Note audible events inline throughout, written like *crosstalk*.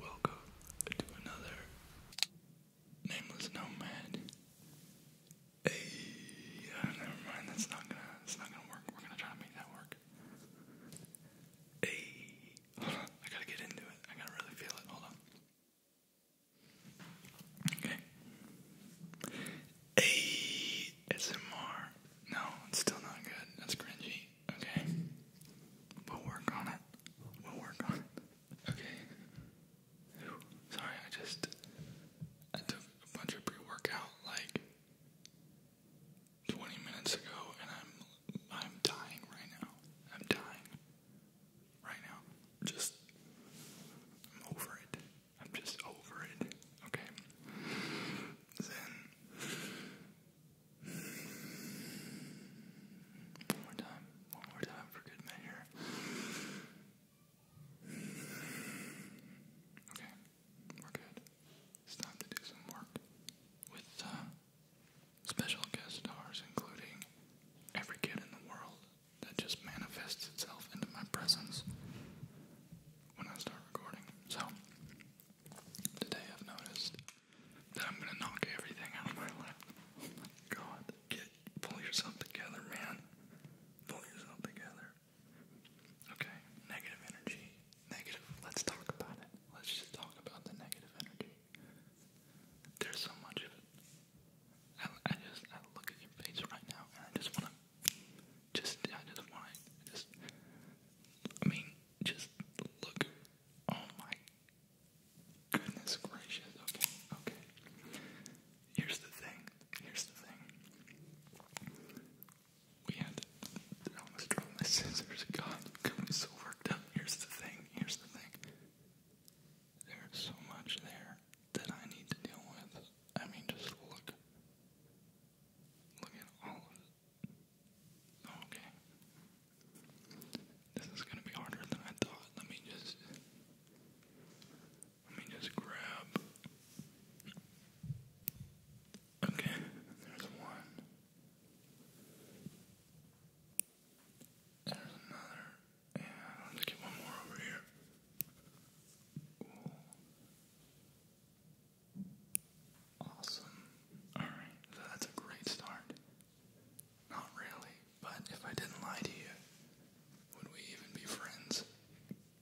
Welcome to another nameless nomad. Hey, uh, never mind. That's not gonna. That's not gonna work. We're gonna try to make that work. Hey, I gotta get into it. I gotta really feel it. Hold on. Okay. ASMR. No, it's still not good. That's cringy. Okay. We'll work on it. We'll work on it. Okay. Sorry, I just took a bunch of pre-workout like 20 minutes ago and I'm I'm dying right now. I'm dying right now. Just I'm over it. I'm just over it, okay? Then, one more time, one more time for good measure. Okay, we're good. It's time to do some work with uh, special guest stars, including every kid in the world that just manifests itself into my presence when I start recording. So, today I've noticed that I'm gonna knock everything out of my lap. god. Get, pull yourself together, man. Pull yourself together. Okay, negative energy. Negative. Let's talk about it. Let's just talk about the negative energy. There's so much of it. I, I just I look at your face right now, and I just want to just, I just want to, just, I mean, just look. Oh my goodness gracious. Okay, okay. Here's the thing. Here's the thing. We had, I almost dropped my scissors. God, got me so worked up. Here's the thing. Here's the thing. There's so much there that I need to deal with. I mean, just look. Look at all of it. Okay. This is gonna be harder than I thought. Let me just. Let me just grab. Okay, there's one. There's another let's get one more over here. Ooh. Awesome. Alright, that's a great start. Not really, but if I didn't lie to you, would we even be friends?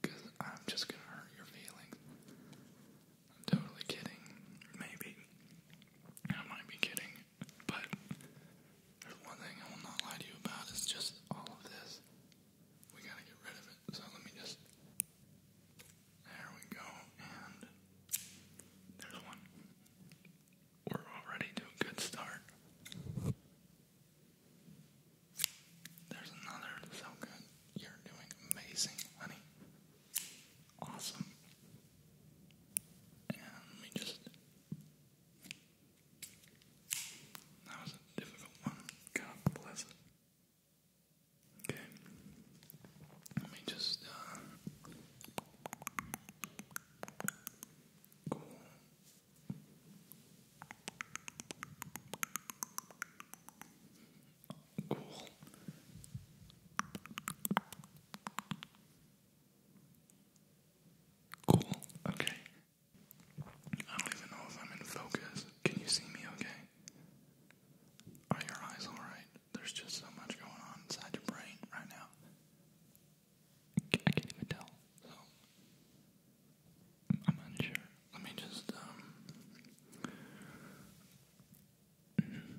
Because I'm just gonna hurt your feelings. I'm totally kidding. Maybe. I might be kidding, but there's one thing I will not lie to you about is just all of this we gotta get rid of it. So let me just. There we go, and there's one. We're already to a good start. There's another. So good. You're doing amazing, honey. Awesome. And let me just that was a difficult one. God bless it. Okay. Let me just, uh. Cool. Cool. Cool. Okay. I don't even know if I'm in focus. Can you see me okay? Are your eyes alright? There's just so much going on inside your brain right now. I can't even tell, so I'm unsure. Let me just, um. *clears throat*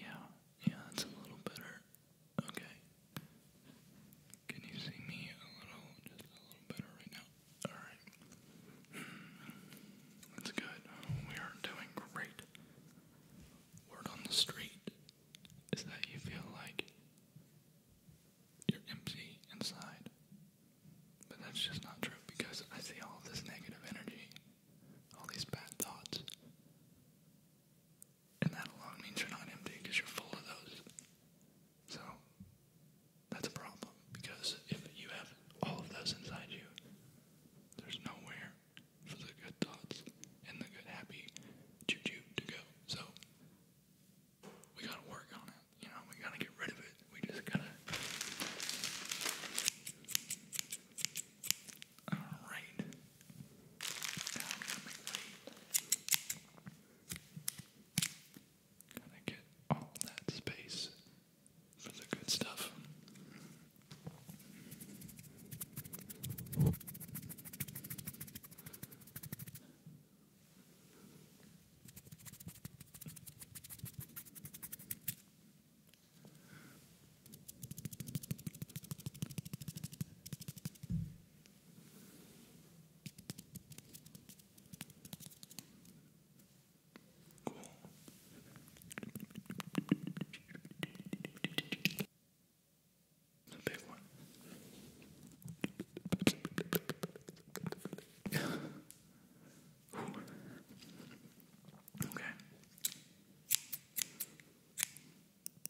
Yeah, yeah, that's a little better. Okay. Can you see me a little, just a little better right now? Alright. Hmm. That's good. We are doing great. Word on the street is that you feel like you're empty inside. But that's just not true because I see all this negative energy, all these bad thoughts. And that alone means you're not empty because you're full of those. So that's a problem because if you have all of those inside you, there's nowhere for the good thoughts and the good happy juju to go. So we gotta work on it. You know, we gotta get rid of it. We just gotta. All right. Now i Gotta get all that space for the good stuff. Cool. The big one. okay.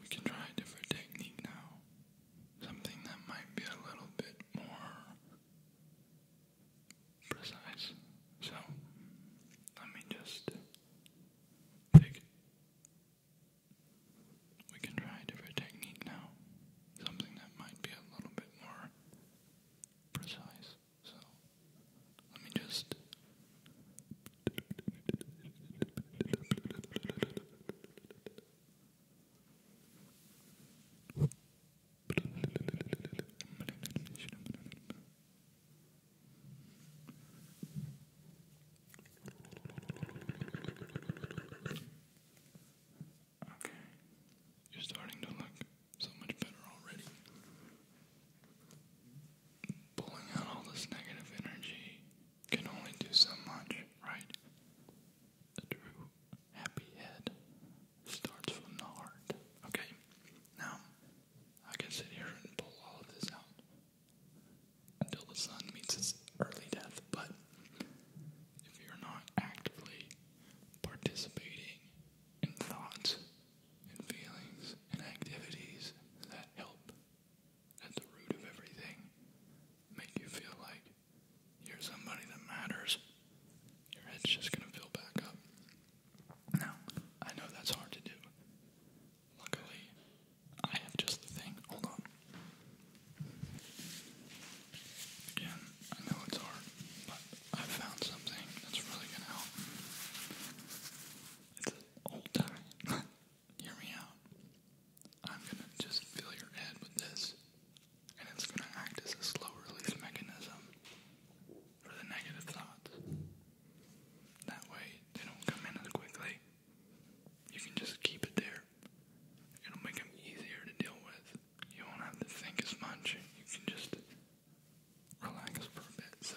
We can try a different technique now. Something that might be a little bit more precise. So, let me just take we can try a different technique now. Something that might be a little bit more precise. So, let me just. *laughs* Okay. You're starting to look so much better already. Pulling out all this negative energy can only do so much, right? true happy head starts from the heart. Okay? Now, I can sit here and pull all of this out until the sun meets its early death. But if you're not actively participating in thoughts and feelings and activities that help at the root of everything, make you feel like you're somebody that matters, your head's just gonna fill back up. Now, I know that's hard to do. Luckily, I have just the thing. Hold on. Again, I know it's hard, but I found something that's really gonna help. It's an old tie. *laughs* Hear me out. I'm gonna just fill your head with this, and it's gonna act as a slow release mechanism for the negative thoughts. That way, they don't come in as quickly you can just keep it there. It'll make them easier to deal with. You won't have to think as much. You can just relax for a bit. So.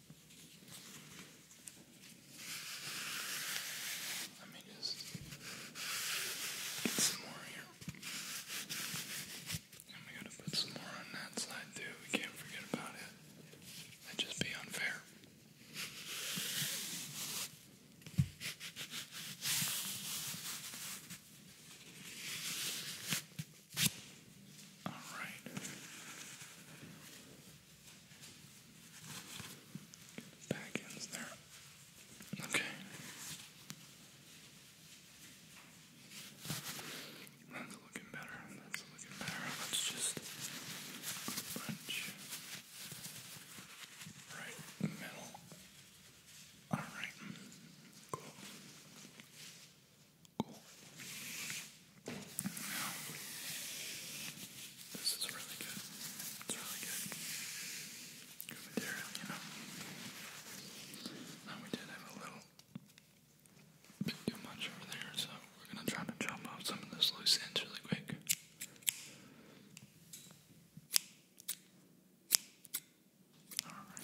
Let me just get some more here. And we gotta put some more on that side too. We can't forget about it. That'd just be unfair. Alright. Back ends there. Okay. That's looking better. That's looking better. Let's just punch right in the middle. Alright. Cool. Cool. This is really good. It's really good. Good material, you know. Now we did have a little too much over there, so we're gonna try to chop off some of those loose ends really quick. Alright.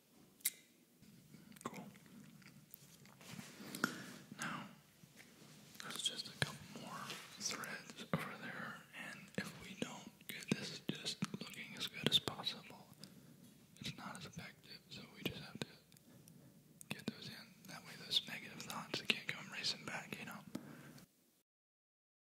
Cool. Now, there's just a couple more threads over there, and if we don't get this just looking as good as possible, it's not as effective, so we just have to get those in. That way, those negative thoughts can't come racing back, you know?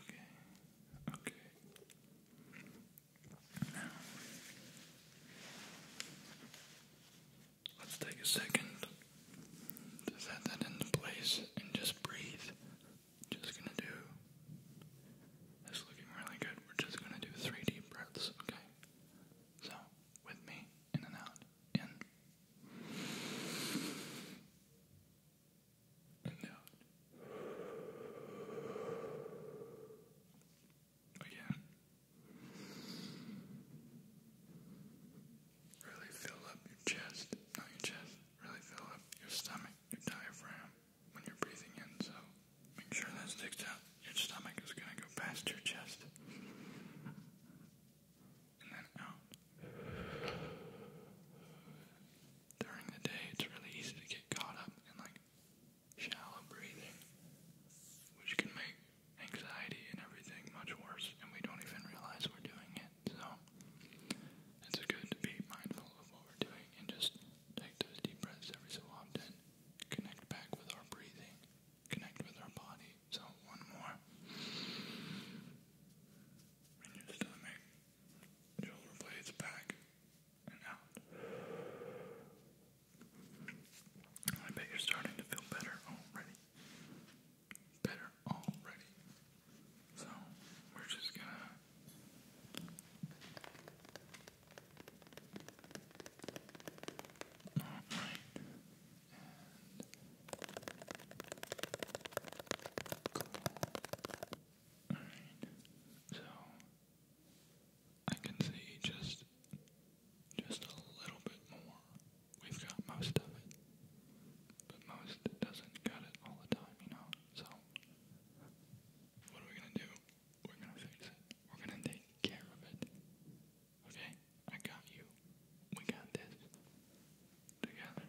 Okay, okay. Now, let's take a second to set that into place and just breathe. Just gonna do. That's looking really good. We're just gonna do three deep breaths, okay? So, with me, in and out, in and out. Again. Really fill up your chest, not your chest, really fill up your stomach, your diaphragm when you're breathing in. So make sure that sticks out. Your stomach is going to go past your chest. And then out during the day, it's really easy to get caught up in like shallow breathing, which can make anxiety and everything much worse, and we don't even realize we're doing it. So, it's good to be mindful of what we're doing and just take those deep breaths every so often, connect back with our breathing, connect with our body. So, one more. In your stomach. Shoulder blades back and out. I bet you're starting to feel better already. Better already. So, we're just gonna. Alright. Alright, so I can see just just a little bit more. We've got most of it. But most doesn't cut it all the time, you know. So what are we gonna do? We're gonna fix it. We're gonna take care of it. Okay? I got you. We got this. Together.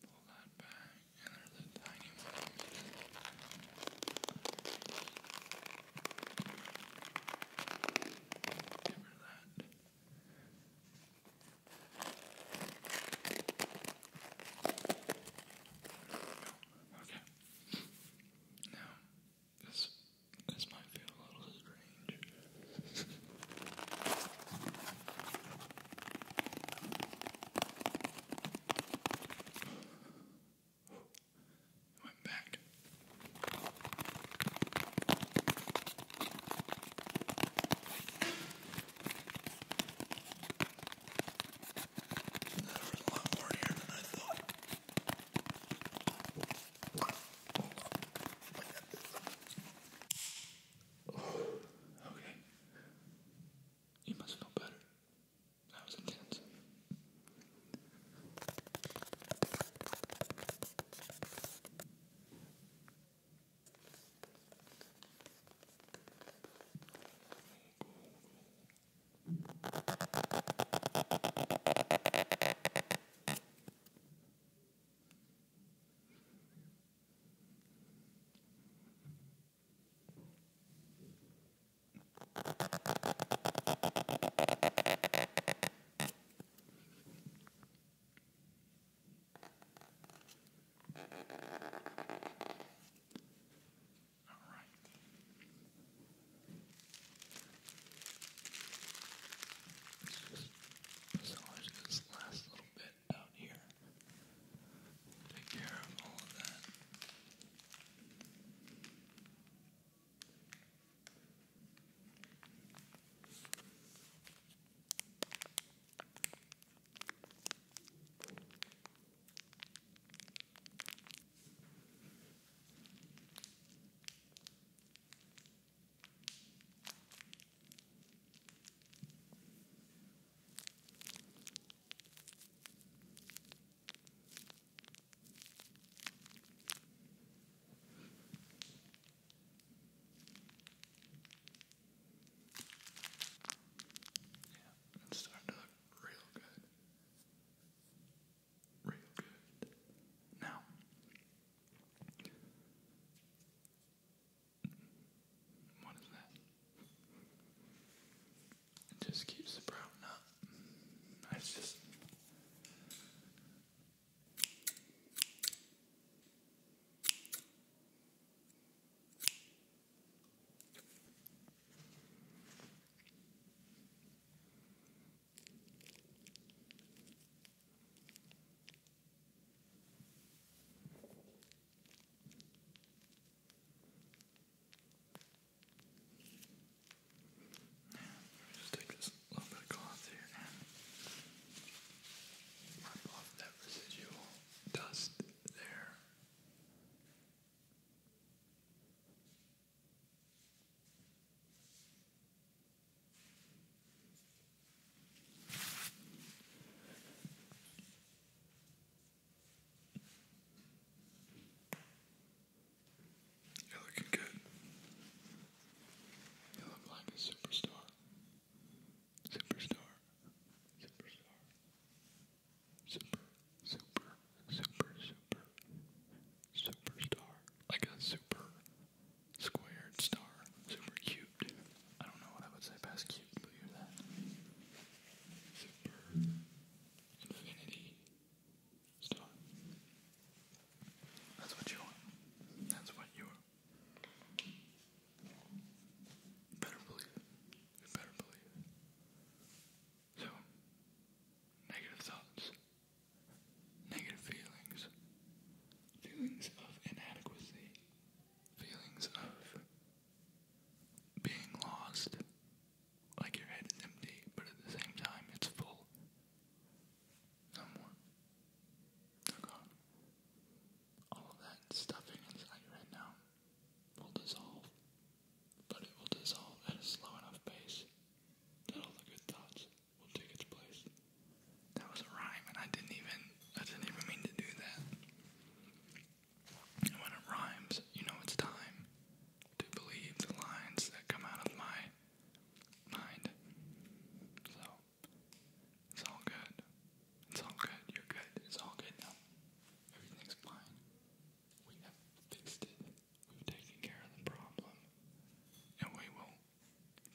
pull that back, and there's a tiny one Get rid of that. Okay. Now, this this might feel a little strange. It went back. That hurt a lot more here than I thought. Okay. You must feel better. That was intense. All right. Let's just massage this last little bit get down here. Take care of all of that. Yeah, it's starting to look real good. Real good. Now, what is that? It just keeps sprouting up. Mm, it's just. Let me just take this little bit of cloth here and wipe off that residual dust there. You're looking good. You look like a superstar. Superstar. Superstar. Super, super, super, super. Superstar. Like a super squared star. Super cute. I don't know what I would say past cube, but you're that super infinity That's what you want. That's what you are. better believe it. better believe it. So, negative thoughts, negative feelings, feelings of inadequacy, feelings of being lost. Like your head is empty, but at the same time it's full. Somewhat. Oh god. All of that stuffing inside you right now will dissolve. But it will dissolve at a slow enough pace that all the good thoughts will take its place. That was a rhyme and I didn't even I didn't even mean to do that when it rhymes, you know it's time to believe the lines that come out of my mind. So, it's all good. It's all good. You're good. It's all good now. Everything's fine. We have fixed it. We've taken care of the problem. And we will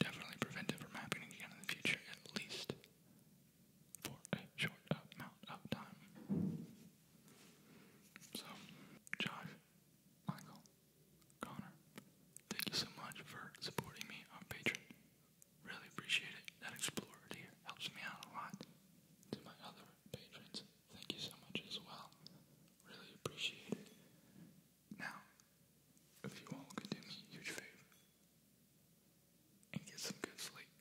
definitely prevent it from happening again in the future, at least for a short amount of time. So, Josh, Michael, Connor, thank you so much for supporting me on Patreon. Really appreciate it. That Explorer here helps me out a lot. To my other patrons, thank you so much as well. Really appreciate it. Now, if you all could do me a huge favor and get some good sleep,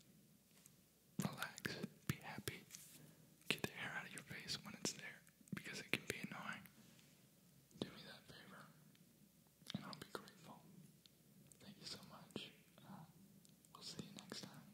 relax, be happy, get the hair out of your face when it's there because it can be annoying. Do me that favor, and I'll be grateful. Thank you so much. Uh, we'll see you next time.